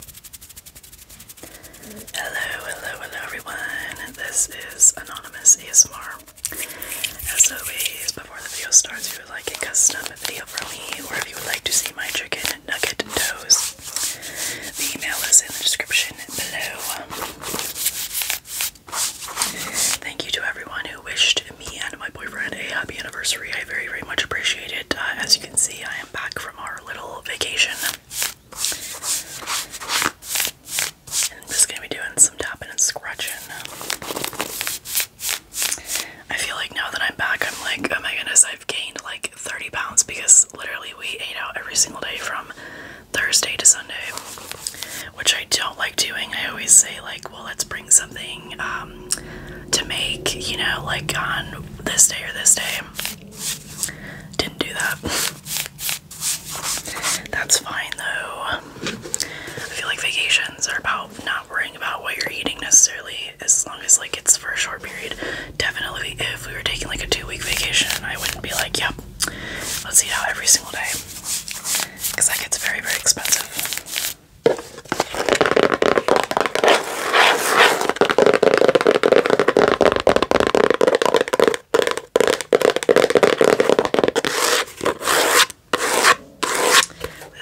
Hello, hello, hello everyone. This is Anonymous ASMR. As before the video starts, if you would like a custom video from me or if you would like to see my chicken nugget toes, the email is in the description below. Thank you to everyone who wished me and my boyfriend a happy anniversary. I very, very much appreciate it. Uh, as you can see, I am back from our little vacation. I'm just gonna be doing some tapping and scratching. I feel like now that I'm back, I'm like, oh my goodness, I've gained like 30 pounds because literally we ate out every single day from Thursday to Sunday, which I don't like doing. I always say, like, well, let's bring something um, to make, you know, like on this day or this day. Didn't do that. That's fine though. I feel like vacations are about not worrying about what you're eating necessarily as long as like it's for a short period. Definitely if we were taking like a two week vacation, I wouldn't be like, yep, let's eat out every single day. Cause that gets very, very expensive.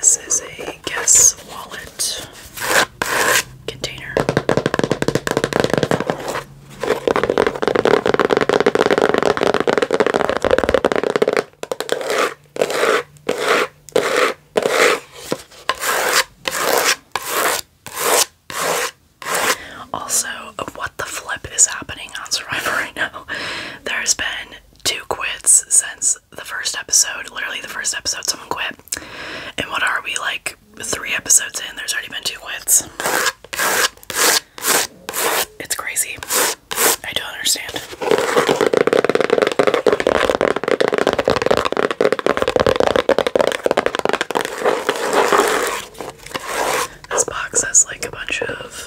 This is a guess wallet container. Also, what the flip is happening on Survivor right now? There's been two quits since the first episode. Literally, the first episode, someone quit. And what are we like three episodes in? There's already been two quits. It's crazy. I don't understand. This box has like a bunch of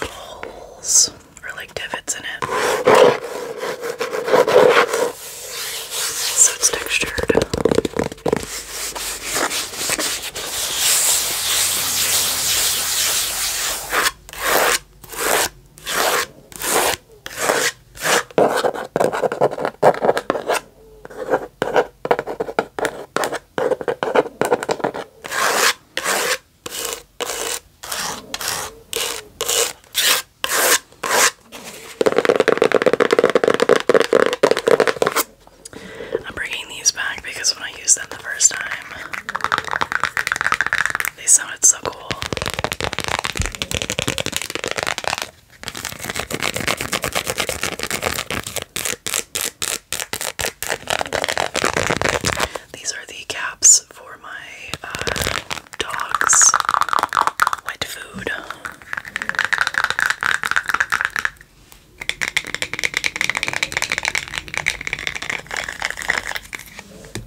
holes or like divots in it. So it's textured. I'm bringing these back because when I used them the first time, they sounded so cool. These are the caps for my uh, dog's wet food.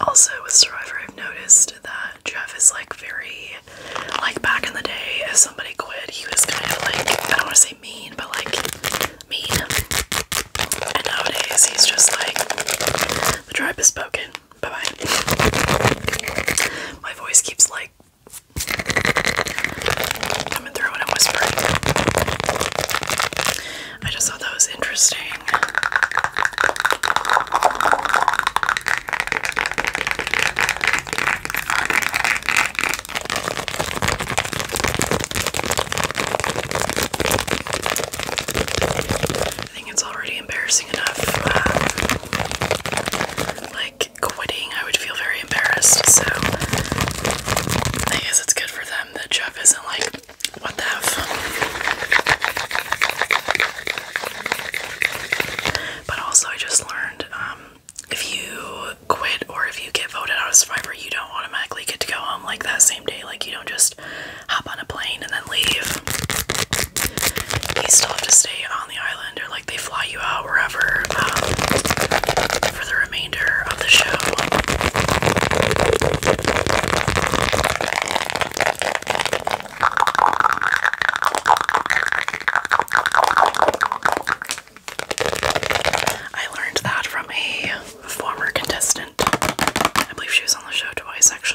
Also, with Survivor, I've noticed that Jeff is like very, like back in the day, if somebody quit, he was kind of like, I don't want to say mean, but like mean. And nowadays, he's just like, the tribe has spoken. Bye bye. My voice keeps like coming through and I'm whispering. I just thought that was interesting. I think it's already embarrassing enough. Uh, like quitting, I would feel very embarrassed. So I guess it's good for them that Jeff isn't like, what the f. But also, I just learned um, if you quit or if you get voted out of Survivor, you don't automatically get to go home like that same day. Like you don't just hop on a plane and then leave you still have to stay on the island, or like they fly you out wherever um, for the remainder of the show. I learned that from a former contestant. I believe she was on the show twice, actually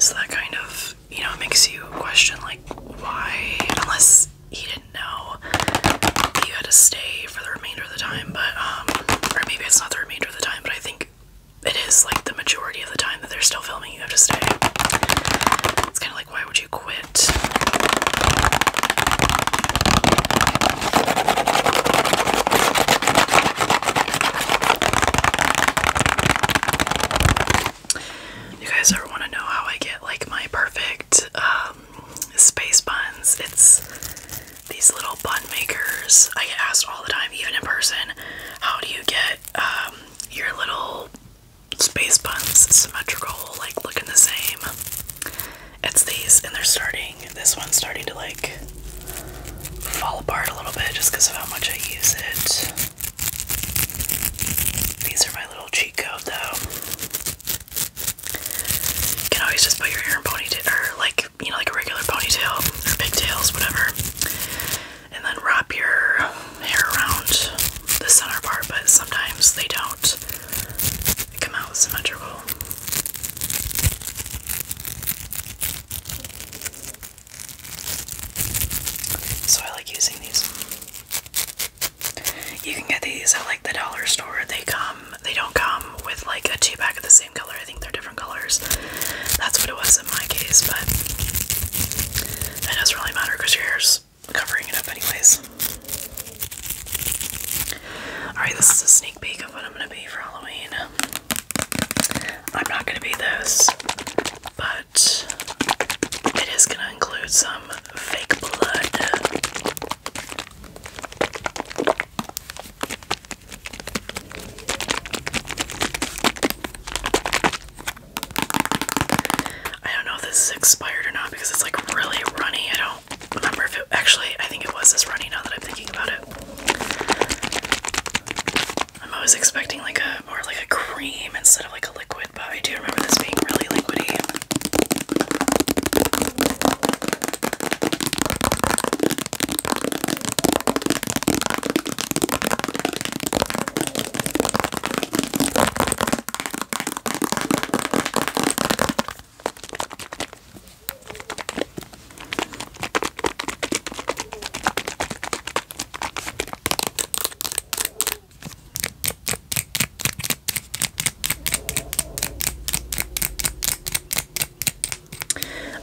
So that kind of, you know, makes you question, like, why, unless he didn't know you had to stay for the remainder of the time, but, um, or maybe it's not the remainder of the time, but I think it is like the majority of the time that they're still filming, you have to stay. It's kind of like, why would you quit? You guys ever want to know how I get like my perfect um, space buns? It's these little bun makers. I get asked all the time, even in person, how do you get um, your little space buns symmetrical, like looking the same. It's these, and they're starting, this one's starting to like fall apart a little bit just because of how much I use it. These are my little cheat code though. You can always just put your hair in ponytail, or like, you know, like a regular ponytail, or pigtails, whatever and then wrap your hair around the center part, but sometimes they don't come out symmetrical. So I like using these. You can get these at like the dollar store. They come, they don't come with like a two pack of the same color. I think they're different colors. That's what it was in my case, but that doesn't really matter because your hair's covering it up anyways. Alright, this is a sneak peek of what I'm gonna be for Halloween. I'm not gonna be this, but it is gonna include some fake blood. I don't know if this is expired or not because it's like really runny. I don't remember if it actually, I think it was this runny now that I'm thinking about it. I'm always expecting like a more like a cream instead of like a liquid, but I do remember this being really liquidy.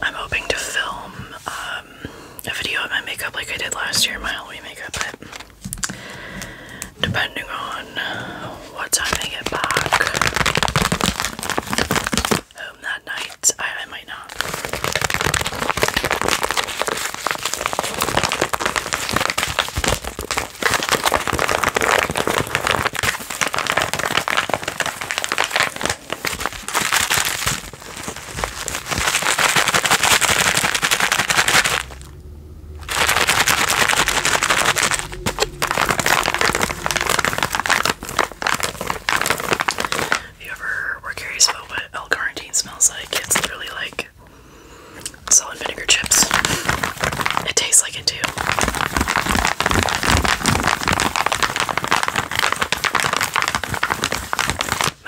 I'm hoping to film uh, um, a video of my makeup like I did last year, my Halloween makeup, but depending on what time I get back home that night, I might not. If you ever were curious about what El quarantine smells like, it's literally like salt and vinegar chips. It tastes like it too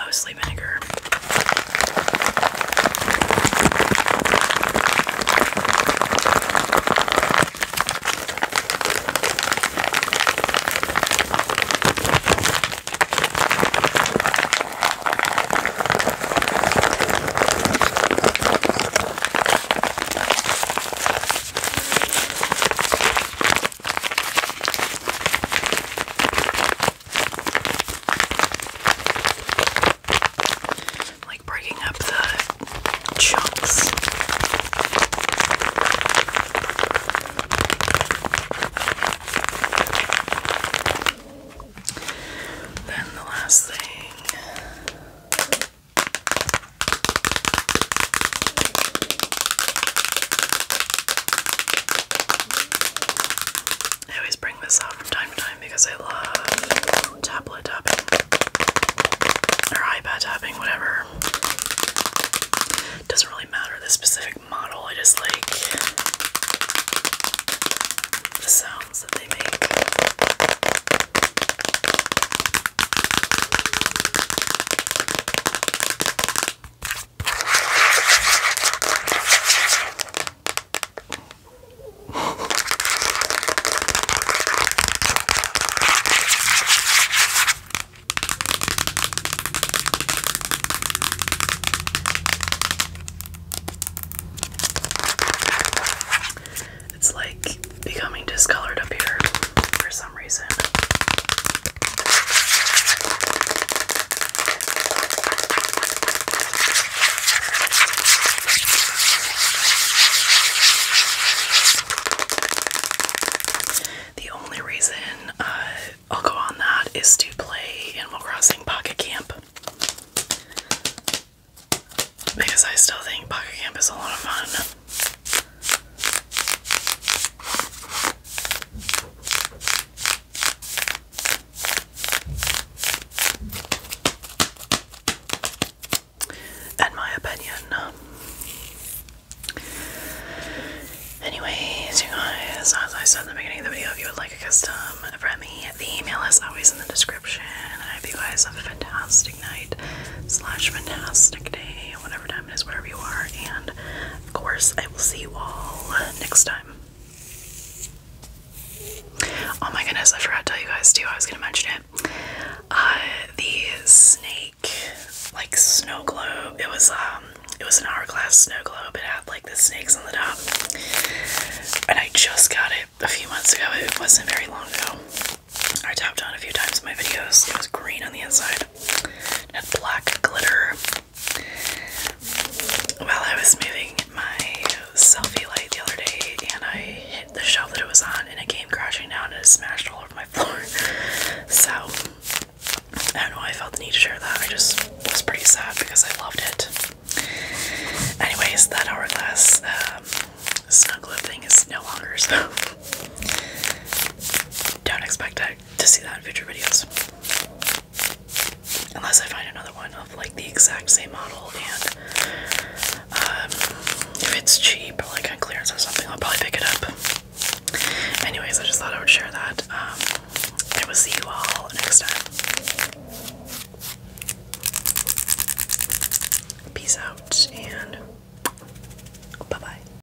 mostly vinegar like breaking up the chunks. Then the last thing I always bring this out from time to time because I love tablet tapping or iPad tapping, whatever. doesn't really matter the specific model, I just like the sounds that they make. It's like becoming discolored up here for some reason. The only reason uh, I'll go on that is to play Animal Crossing Pocket Camp. Because I still think Pocket Camp is a lot of fun. In my opinion. Anyway, you guys, as I said in the beginning of the video, if you would like a custom from me, the email is always in the description. I hope you guys have a fantastic night slash fantastic day, whatever time wherever you are, and of course, I will see you all next time. Oh my goodness, I forgot to tell you guys too, I was gonna mention it. Uh, the snake, like snow globe, it was, um, it was an hourglass snow globe. It had like the snakes on the top, and I just got it a few months ago. It wasn't very long ago. I tapped on a few times in my videos. It was green on the inside. It black glitter. While I was moving my selfie light the other day, and I hit the shelf that it was on, and it came crashing down and it smashed all over my floor. So I don't know why I felt the need to share that. I just was pretty sad because I loved it. Anyways, that hourglass um, snuggle thing is no longer so. Don't expect it to see that in future videos. Unless I find another one of like the exact same model, and um, if it's cheap or like on clearance or something, I'll probably pick it up. Anyways, I just thought I would share that. Um, I will see you all next time. Peace out and bye bye.